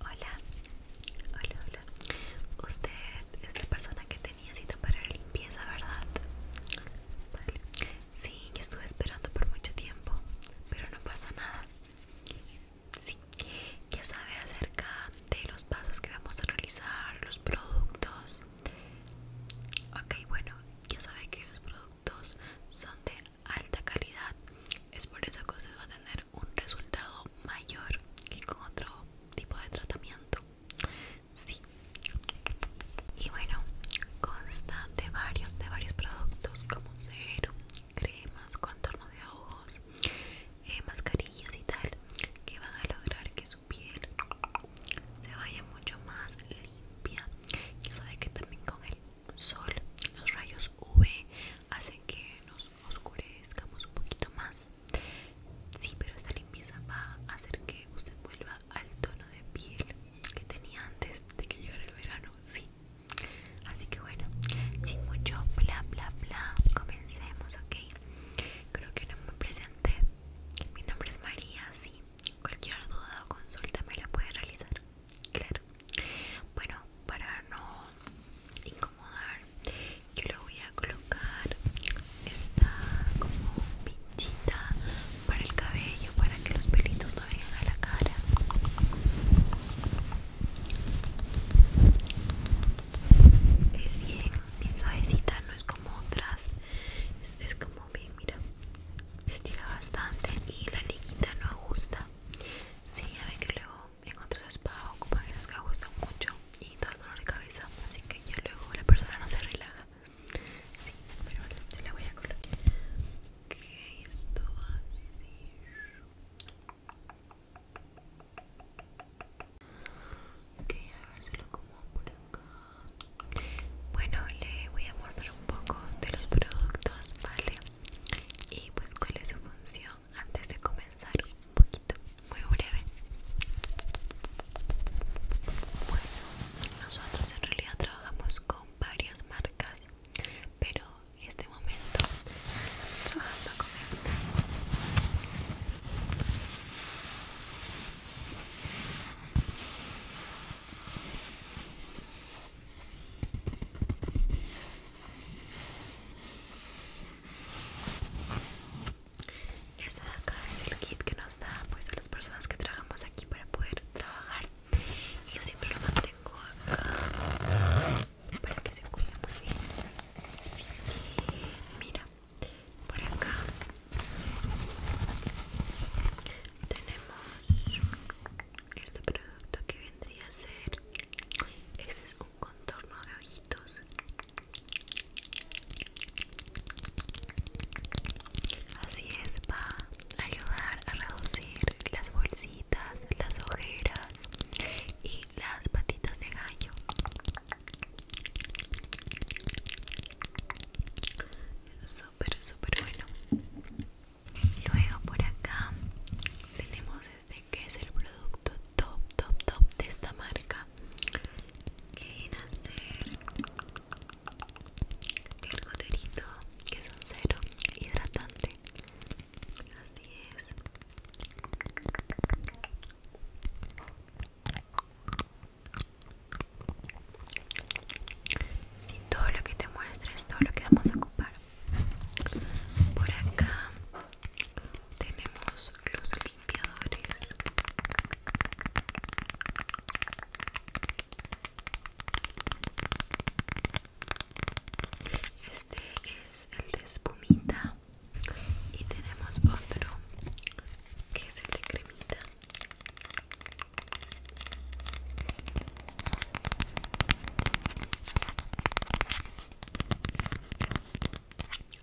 Hola, hola, hola. Usted es la persona que tenía cita para la limpieza, ¿verdad? Sí, yo estuve esperando por mucho tiempo, pero no pasa nada. Sí, ya sabe acerca de los pasos que vamos a realizar, los productos. Ok, bueno, ya sabe que los productos son de alta calidad es por eso que usted va a tener un resultado mayor que con otro tipo de tratamiento sí y bueno consta de varios de varios productos como cero cremas contorno de ojos eh, mascarillas y tal que van a lograr que su piel se vaya mucho más limpia ya sabe que también con el sol, los rayos V hacen que nos oscurezcamos un poquito más. Sí, pero esta limpieza va a hacer que usted vuelva al tono de piel que tenía antes de que llegara el verano. Sí. Así que bueno, sin mucho bla bla bla, comencemos, ¿ok? Creo que no me presenté. Mi nombre es María, sí. Cualquier duda o consulta me la puede realizar claro bueno para no incomodar yo le voy a colocar esta como pinchita para el cabello para que los pelitos no vengan a la cara es bien, bien suavecita, no es como otras, es, como bien, mira, estira bastante y la liguita no ajusta. Sí, a ver que luego en otras spas ocupan esos que gustan mucho y da dolor de cabeza así que ya luego la persona no se relaja sí, pero vale, la voy a colocar ok, esto va así ok, a ver si lo como por acá bueno, le voy a mostrar un poco de los productos, vale y pues cuál es su función antes de comenzar un poquito muy breve bueno nosotros en realidad trabajamos con varias marcas pero en este momento estamos trabajando con esta esa de acá es el kit que nos da pues a las personas que trabajamos aquí para poder trabajar y yo siempre lo mantengo acá para que se cuide muy bien mira por acá tenemos este producto que vendría a ser este es un contorno de ojitos así es va a ayudar a reducir las bolsitas las ojeras y las patitas de gallo súper súper bueno Luego por acá tenemos este que es el producto top, top, top de esta marca. Que viene a ser el que es un cero hidratante. Así es. todo lo que te es todo lo que vamos a ocupar por acá tenemos los limpiadores. Este es el de espumita y tenemos otro que es el de cremita.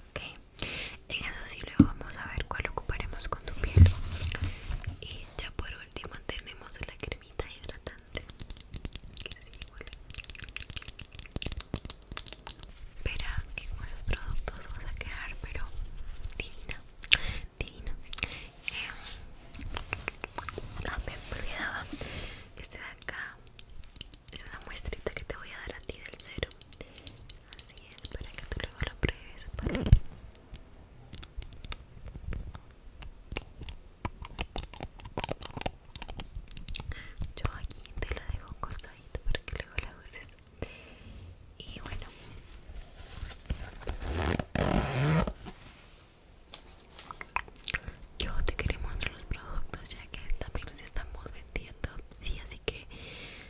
Ok, en eso sí luego vamos a ver cuál ocuparemos con tu piel Y ya por último tenemos la cremita hidratante que es igual Espera que con productos vas a quedar pero divina, divina También eh, Ah, me olvidaba este de acá es una muestrita que te voy a dar a ti del cero. Así es, para que tú luego lo pruebes. Yo aquí te la dejo un costadito para que luego la uses. Y bueno. Yo te quería mostrar los productos ya que también los estamos vendiendo. Sí, así que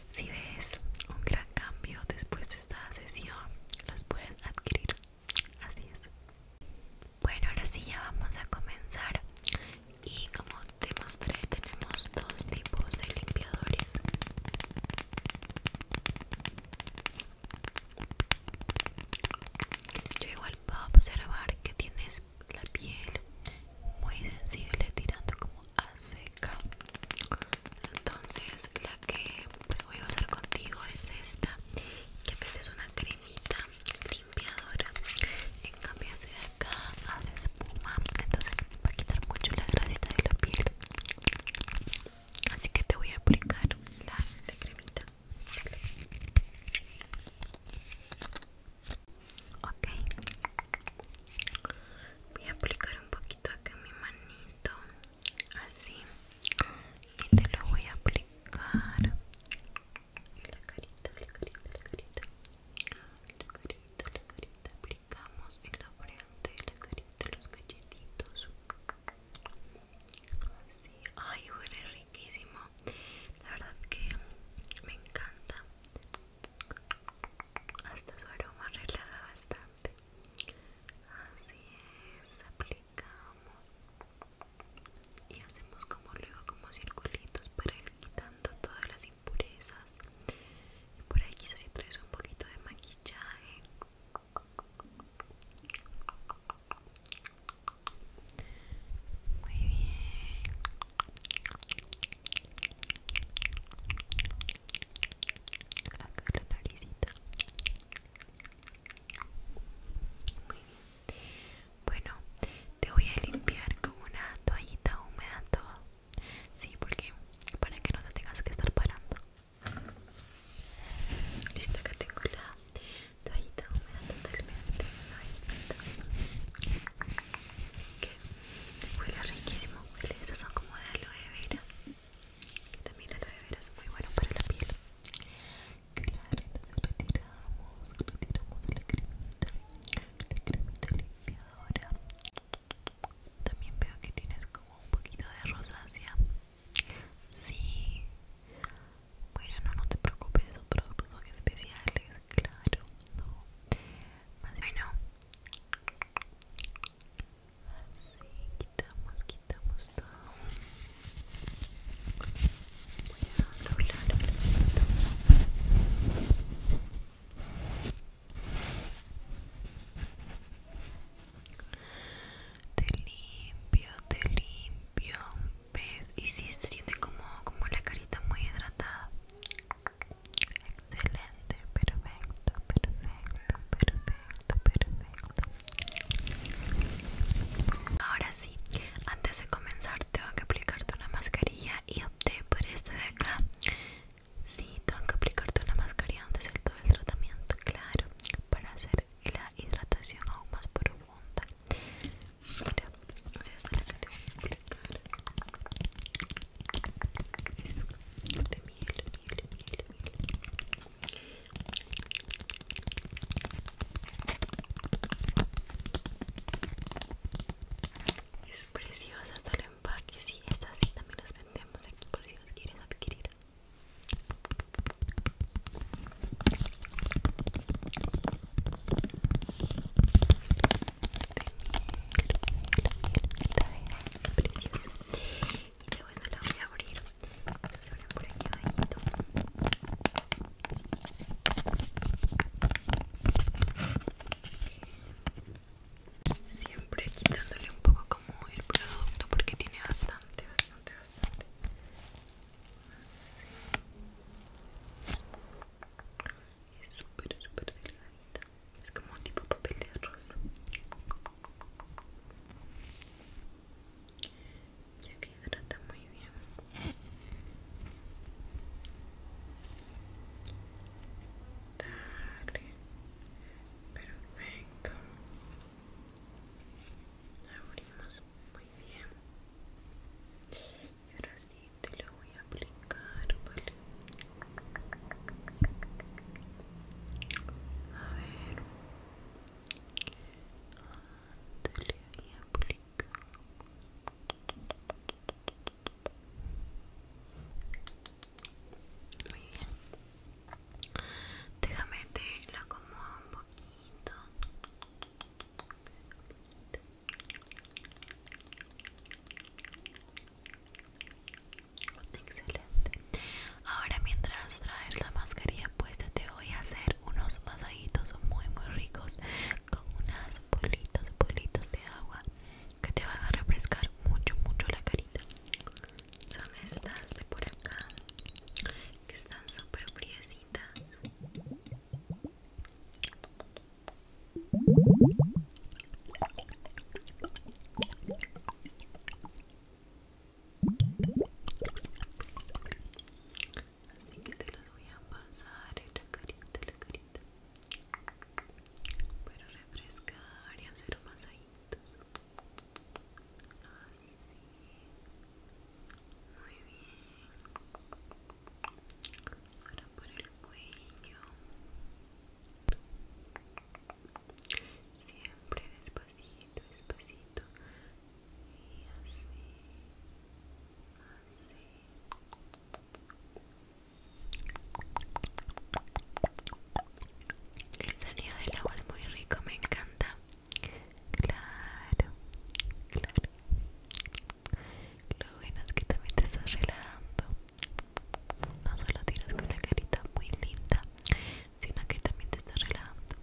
si ves un gran cambio después de esta sesión, los puedes adquirir. Así es. Bueno, ahora sí ya vamos a comenzar. Y como te mostré, tenemos dos tipos de limpiadores. Yo igual puedo observar que tienes la piel muy sensible tirando como a seca entonces la que pues voy a usar contigo es esta ya que esta es una cremita limpiadora en cambio si de acá hace espuma entonces va a quitar mucho la grasita de la piel así que te voy a aplicar la cremita Ok. Voy a aplicar un poquito acá mi manito. Así. Y te lo voy a aplicar. La carita, la carita, la carita. La carita, la carita. Aplicamos en la frente, la carita, los galletitos. Sí, ay, huele riquísimo. La verdad que me encanta. Hasta su aroma relaja bastante. Así es, aplicamos y hacemos como luego como circulitos para ir quitando todas las impurezas. Y por ahí quizás si traes un poquito de maquillaje. Muy bien. la naricita. Muy bien. Bueno, te voy a limpiar con una toallita húmeda todo. Sí, porque para que no te tengas que estar parando. Listo, que tengo la toallita húmeda totalmente aislada que huele riquísimo huele estas son como de aloe vera también aloe vera es muy bueno para la piel claro entonces retiramos retiramos la cremita la cremita limpiadora también veo que tienes como un poquito de rosácea Sí. Bueno, no, no te preocupes, esos productos son especiales, claro, no. Más bueno. Así, quitamos, quitamos todo. Voy a doblar Te limpio, te limpio ves y si se siente como como la carita muy hidratada excelente perfecto perfecto perfecto perfecto ahora sí antes de comenzar tengo que aplicarte una mascarilla y opté por este de acá Sí, tengo que aplicarte una mascarilla antes del todo el tratamiento, claro, para hacer la hidratación aún más profunda. Mira, o sea, esta es la que te voy a aplicar. Eso, de miel, miel, miel, miel. Es preciosa hasta el empaque, sí, estas sí también las vendemos aquí por si las quieres adquirir preciosa y ya bueno la voy a abrir se abren por aquí abajito siempre quitándole un poco como el producto porque tiene bastante bastante bastante es súper, súper delgadita. Es como tipo papel de arroz. Ya que hidrata muy bien. Dale. Perfecto. Abrimos. bien bien y ahora sí te lo voy a aplicar vale a ver ah, te lo voy a aplicar muy bien déjame te la acomodo un poquito Excelente. Ahora mientras traes la mascarilla puesta te voy a hacer unos masajitos muy muy ricos con unas bolitas, de agua que te van a refrescar mucho mucho la carita. Son estas de por acá que están súper así que te las voy a pasar en la carita, la carita Pero refrescar y hacer masajitos Así. Muy bien. Ahora por el cuello. Siempre despacito, despacito. Y así. Así. El sonido del agua es muy rico, me encanta. Claro, claro. Lo bueno es que también te estás relajando. No solo tienes una la carita muy linda, sino que también te estás relajando.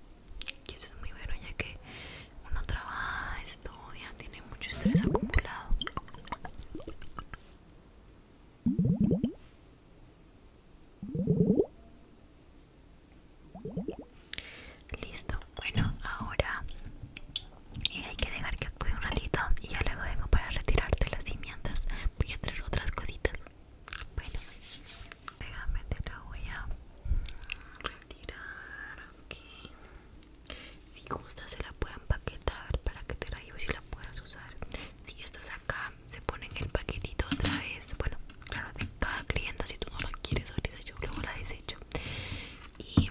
Y eso es muy bueno ya que uno trabaja, estudia, tiene mucho estrés acumulado. Listo, bueno, ahora eh, hay que dejar que actúe un ratito y yo luego vengo para retirarte las cimientas Voy a traer otras cositas. Bueno, déjame, te la voy a retirar. Ok, si gusta, se la pueden paquetar para que te la lleves y la puedas usar. Si estás acá, se pone en el paquetito otra vez. Bueno, claro, de cada clienta, si tú no la quieres ahorita, yo luego la desecho y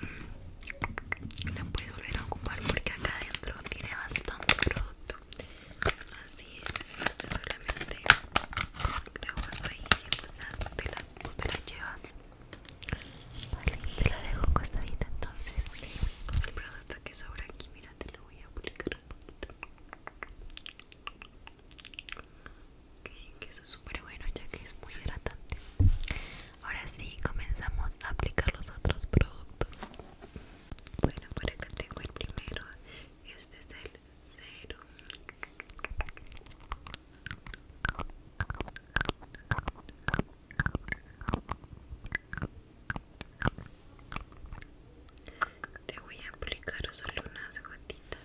la puedes volver a ocupar porque acá adentro tiene bastante producto. Así es, solamente la guardo ahí. Si gustas, te la, te la llevas. Vale, te la dejo acostadita entonces. Con el producto que sobra aquí, mira, te lo voy a aplicar un poquito que eso es súper bueno ya que es muy hidratante. Ahora sí, comenzamos a aplicar los otros productos. Bueno, por acá tengo el primero. Este es el serum. Te voy a aplicar solo unas gotitas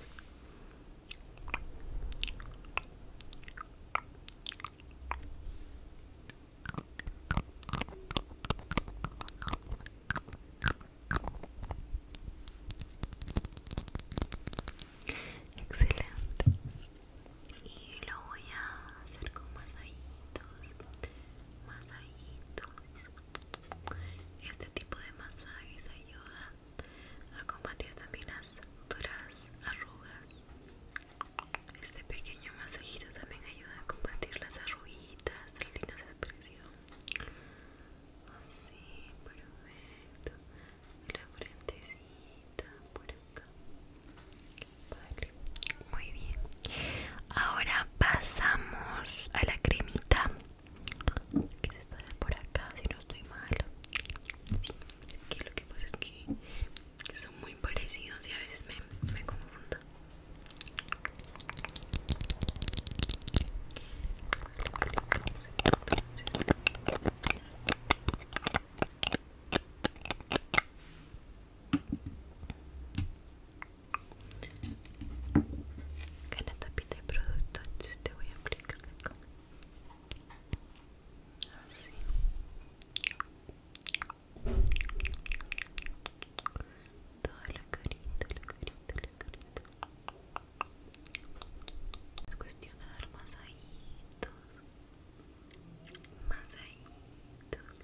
Excelente. Y lo voy a hacer con masajitos, masajitos. Este tipo de masajes ayuda a combatir también las otras arrugas. Este pequeño masajito también ayuda a combatir las arruguitas, las líneas de expresión. Así, perfecto. La frentecita por acá. muy bien. Ahora pasamos a la cremita que se por acá si no estoy mal sí, que lo que pasa es que, son muy parecidos y a veces me, me Gana tapita de producto, te voy a aplicar cómo. Así. Toda la carita, la carita, la carita. Es cuestión de dar masaditos. Masaditos.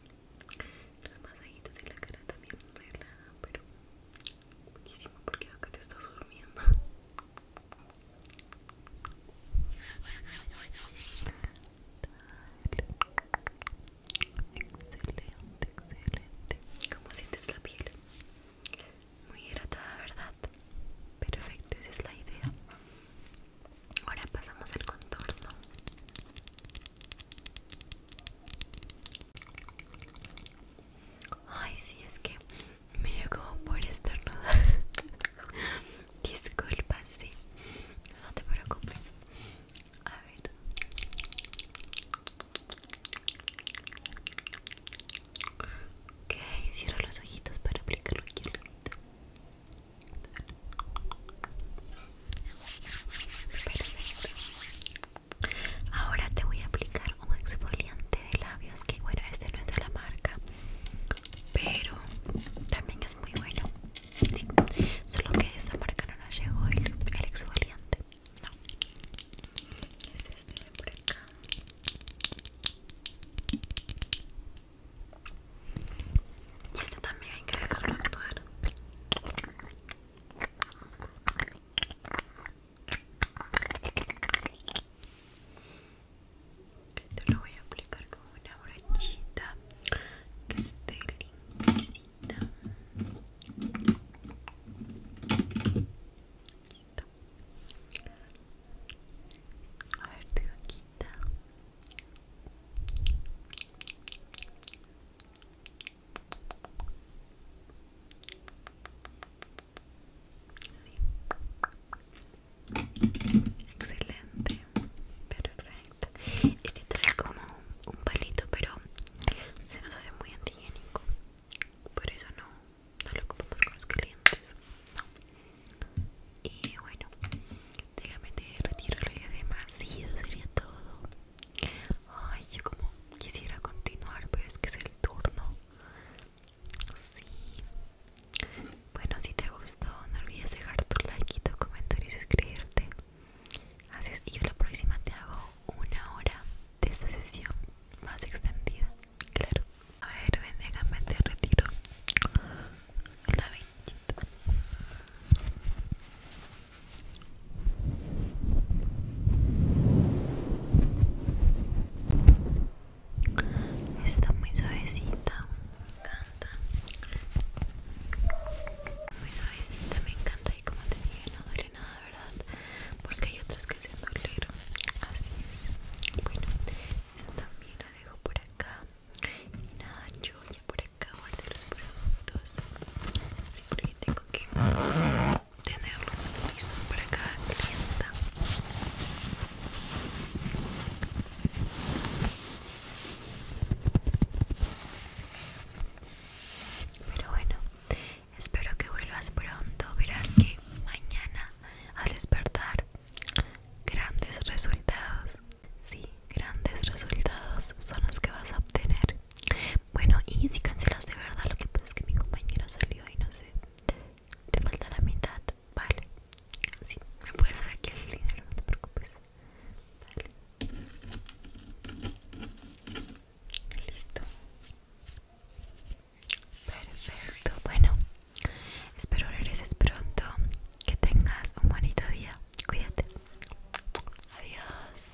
Los masajitos y la cara también relajan, pero Buenísimo, porque acá te estás durmiendo. Excelente, excelente. ¿Cómo sientes la piel? Muy hidratada, ¿verdad? Perfecto, esa es la idea. Ahora pasamos al contorno. Ay, sí, es que me dio como por estornudar. Disculpa, sí. No te preocupes. A ver. Ok, cierro los ojitos para aplicarlo aquí al Ahora te voy a aplicar un exfoliante de labios que bueno, este no es de la marca, pero también es muy bueno. solo que de esta marca no nos llegó el, exfoliante. No. Es este de por acá. Y este también hay que dejarlo actuar. Te lo voy a aplicar con una brochita que esté limpiecita. A ver Excelente, perfecto. Este trae como un palito, pero se nos hace muy antihigiénico. Por eso no, lo ocupamos con los clientes. Y bueno, déjame te retiro lo demás. eso sería todo. Ay, yo como Quisiera continuar, pero es que es el turno. Sí. Bueno, si te gustó, no olvides dejar tu like y tu comentario y suscribirte. Así y yo la próxima te hago una hora de esta sesión más extendida. Claro. A ver, ven, me te retiro la Está muy suavecita, me encanta. Muy suavecita, me encanta. Y como te dije, no duele nada, ¿verdad? Porque hay otras que se doler. Así es. Bueno, esa también la dejo por acá. Y nada, yo ya por acá guardé los productos. Así porque tengo que tenerlos listos para cada clienta pero bueno espero que vuelvas pronto verás que mañana al despertar grandes resultados sí grandes resultados son los que vas a obtener bueno, y si cancelas de verdad, lo que pasa es que mi compañero salió y no sé, te falta la mitad, vale. Sí, me puedes dar aquí el dinero, no te preocupes. Vale. Listo. Perfecto, bueno. Espero regreses pronto. Que tengas un bonito día. Cuídate. Adiós.